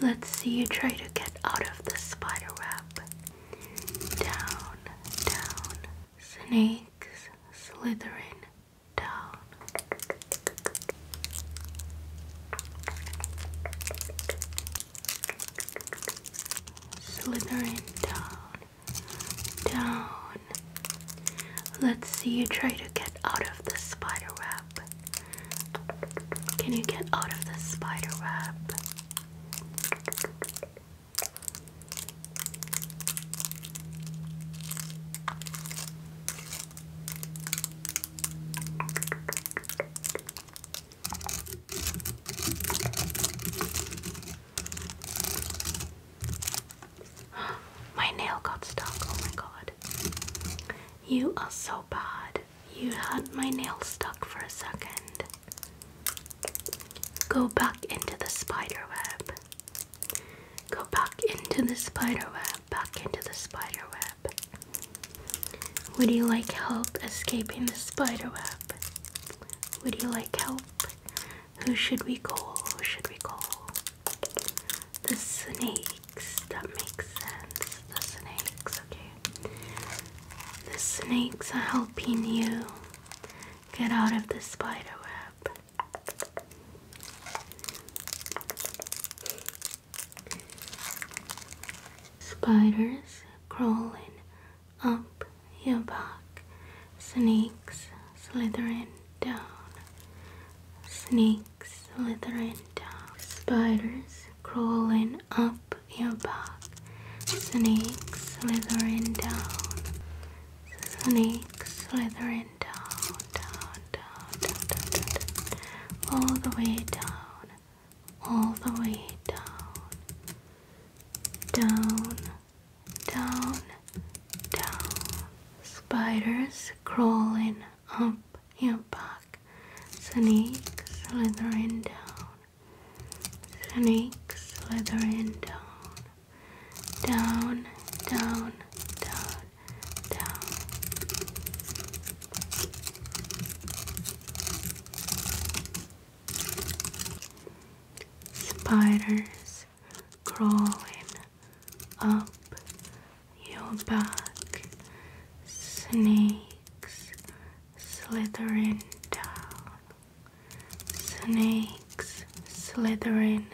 Let's see you try to get out of the spider web. Down, down. Snakes slithering down. Slithering down, down. Let's see you try to get out of the spider web. Can you get out of the spider web? my nail got stuck. Oh my god. You are so bad you had my nail stuck for a second. Go back into the spider web. Go back into the spider web. Back into the spider web. Would you like help escaping the spider web? Would you like help? Who should we call? Who should we call? The snake. That makes sense. The snakes, okay. The snakes are helping you get out of the spider web. Spiders crawling up your back. Snakes slithering down. Snakes snakes slithering down, spiders crawling up your back, snakes slithering down, snakes slithering down, down, down, down, down, down, down. all the way down, all the way down, down, down, down. Spiders crawling up and back. Snake slithering down. Snake slithering down. Down, down, down, down. Spiders crawling up your back, snakes slithering down, snakes slithering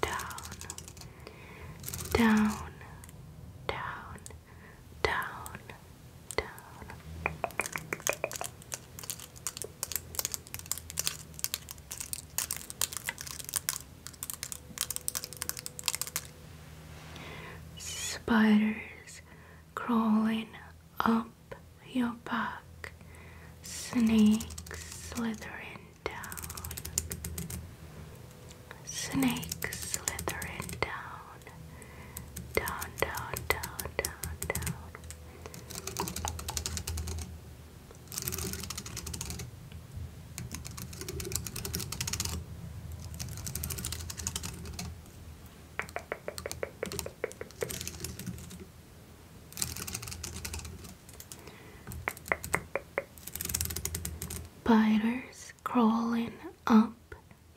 down, down, down, down, down. Spiders crawling up your back, snakes slithering down, snakes slithering down, down, down, down, down, down. Spiders crawling up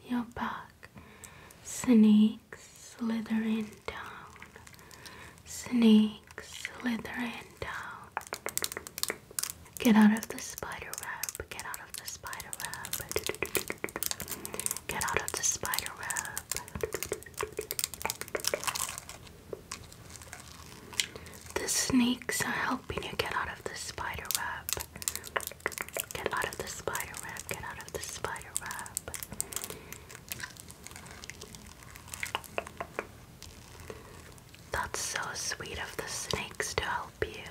your back, snakes slithering down, snakes slithering down. Get out of the spider web. Get out of the spider web. Get out of the spider web. The snakes are helping you get out of the spider web. Get out of the spider web. Get out of the spider web. That's so sweet of the snakes to help you.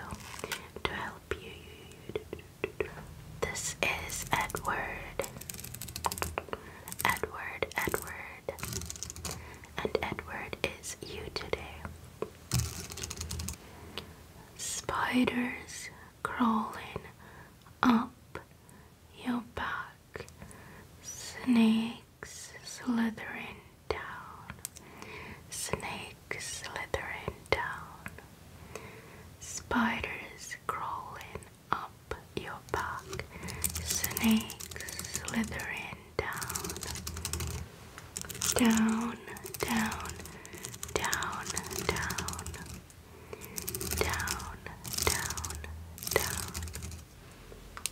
To help you. This is Edward. Edward, Edward. And Edward is you today. Spiders crawling up your back. Snake slithering down, snakes slithering down, spiders crawling up your back, snakes slithering down, down, down, down, down, down, down, down.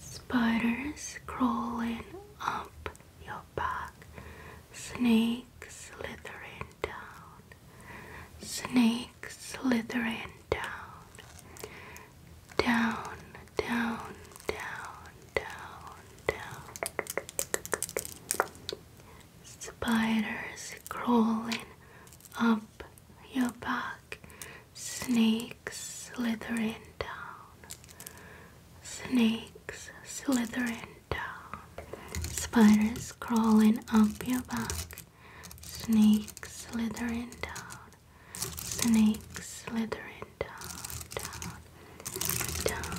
Spiders crawling up your back, snakes slithering down, snakes slithering down, down, down, down, down, down. Spiders crawling up your back, Snakes slithering down. Snakes slithering down. Spiders crawling up your back. Snakes slithering down. Snakes slithering down, down, down.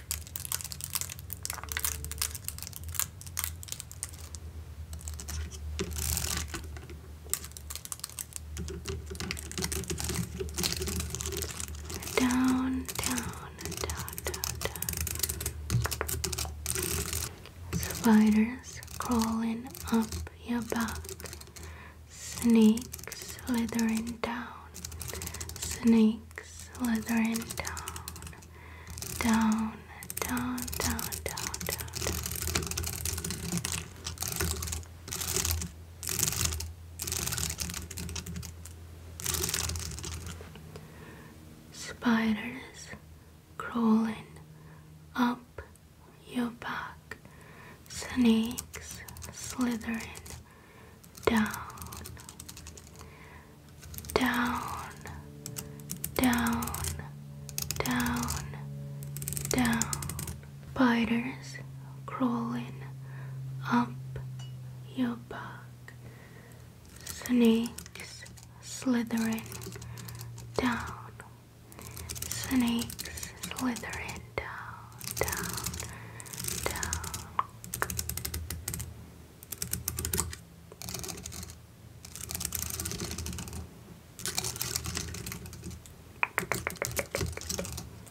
Down, down, down, down, Spiders crawling up your back. Snakes slithering down. Snake slithering down down, down, down, down, down, Spiders crawling up your back, snakes slithering down, down, down, down, down. Spiders crawling up your back, snakes slithering down, snakes slithering down, down, down.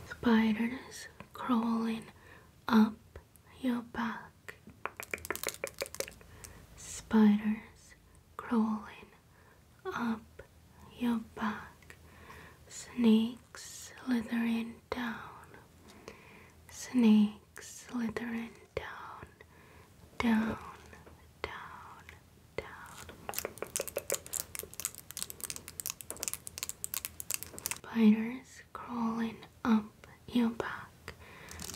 Spiders crawling up your back. Spiders crawling up your back. Snakes slithering down. Snakes slithering down, down, down, down. Spiders crawling up your back.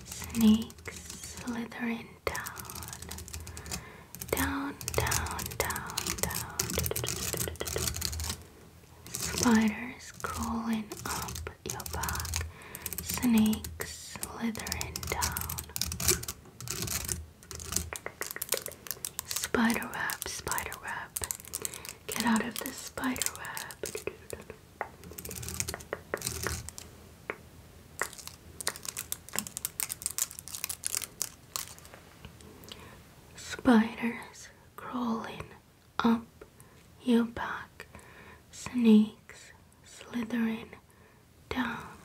Snakes slithering down, down, down, down, down. Spiders crawling up your back, snakes slithering down. Spider web, spider web, get out of the spider web. Spiders crawling up your back, snakes slithering down,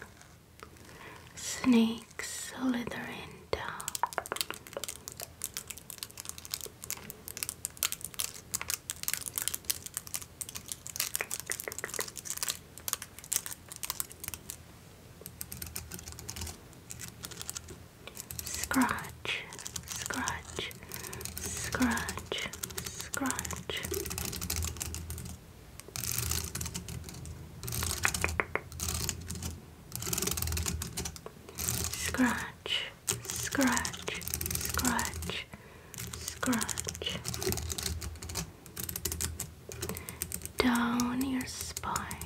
snakes slithering down. Scratch, scratch, scratch, scratch, scratch. Scratch, scratch, scratch, scratch. Down your spine,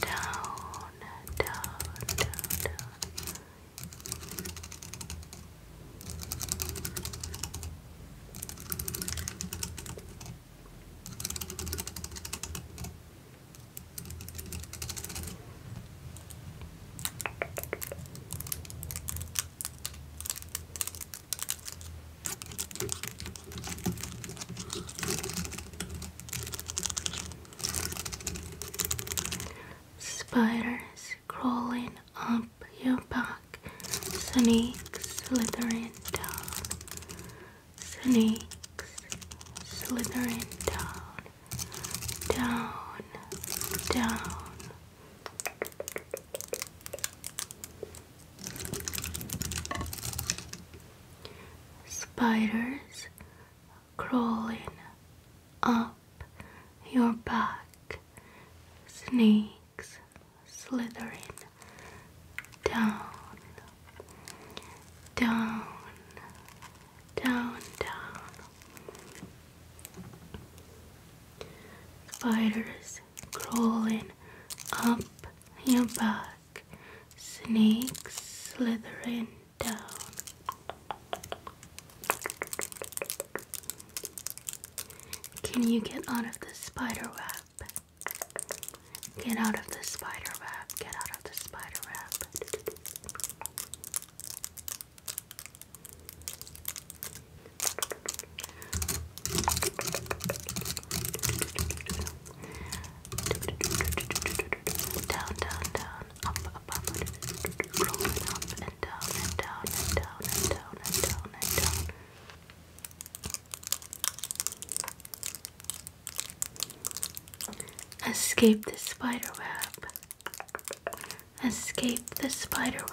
down, down, down, Spiders crawling up your back, snakes slithering down, snakes slithering down, down, down. Spiders crawling up your back, snakes slithering down, down, down, down. Spiders crawling up your back. Snake slithering down. Can you get out of the spider web? Get out of the spider web, get out of the spider web. Down, down, down, up, up, up, rolling up and down and down and down and down and down and down. Escape the spider web. Escape the spider web.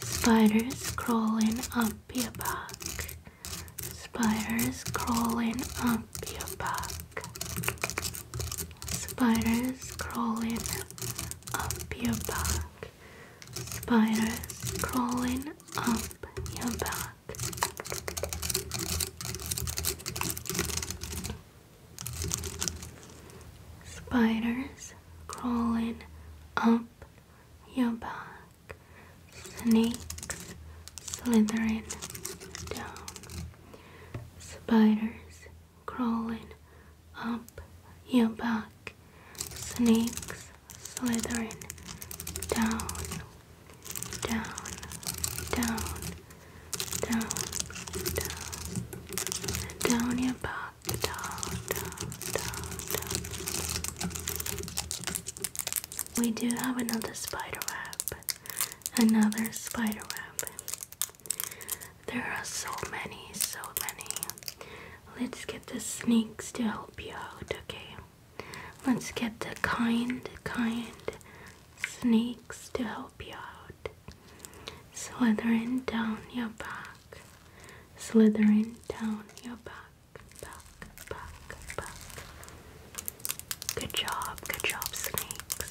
Spiders crawling up your back, Spiders crawling up your back. Spiders crawling up your back. Spiders crawling up your back. Spiders crawling up your back snakes slithering down, spiders crawling up your back, snakes slithering down, down, down, down, down, down your back, down, down, down, down we do have another spider web. Another spider web. There are so many, so many. Let's get the snakes to help you out, okay? Let's get the kind, kind snakes to help you out. Slithering down your back. Slithering down your back. Back, Good job, good job, snakes.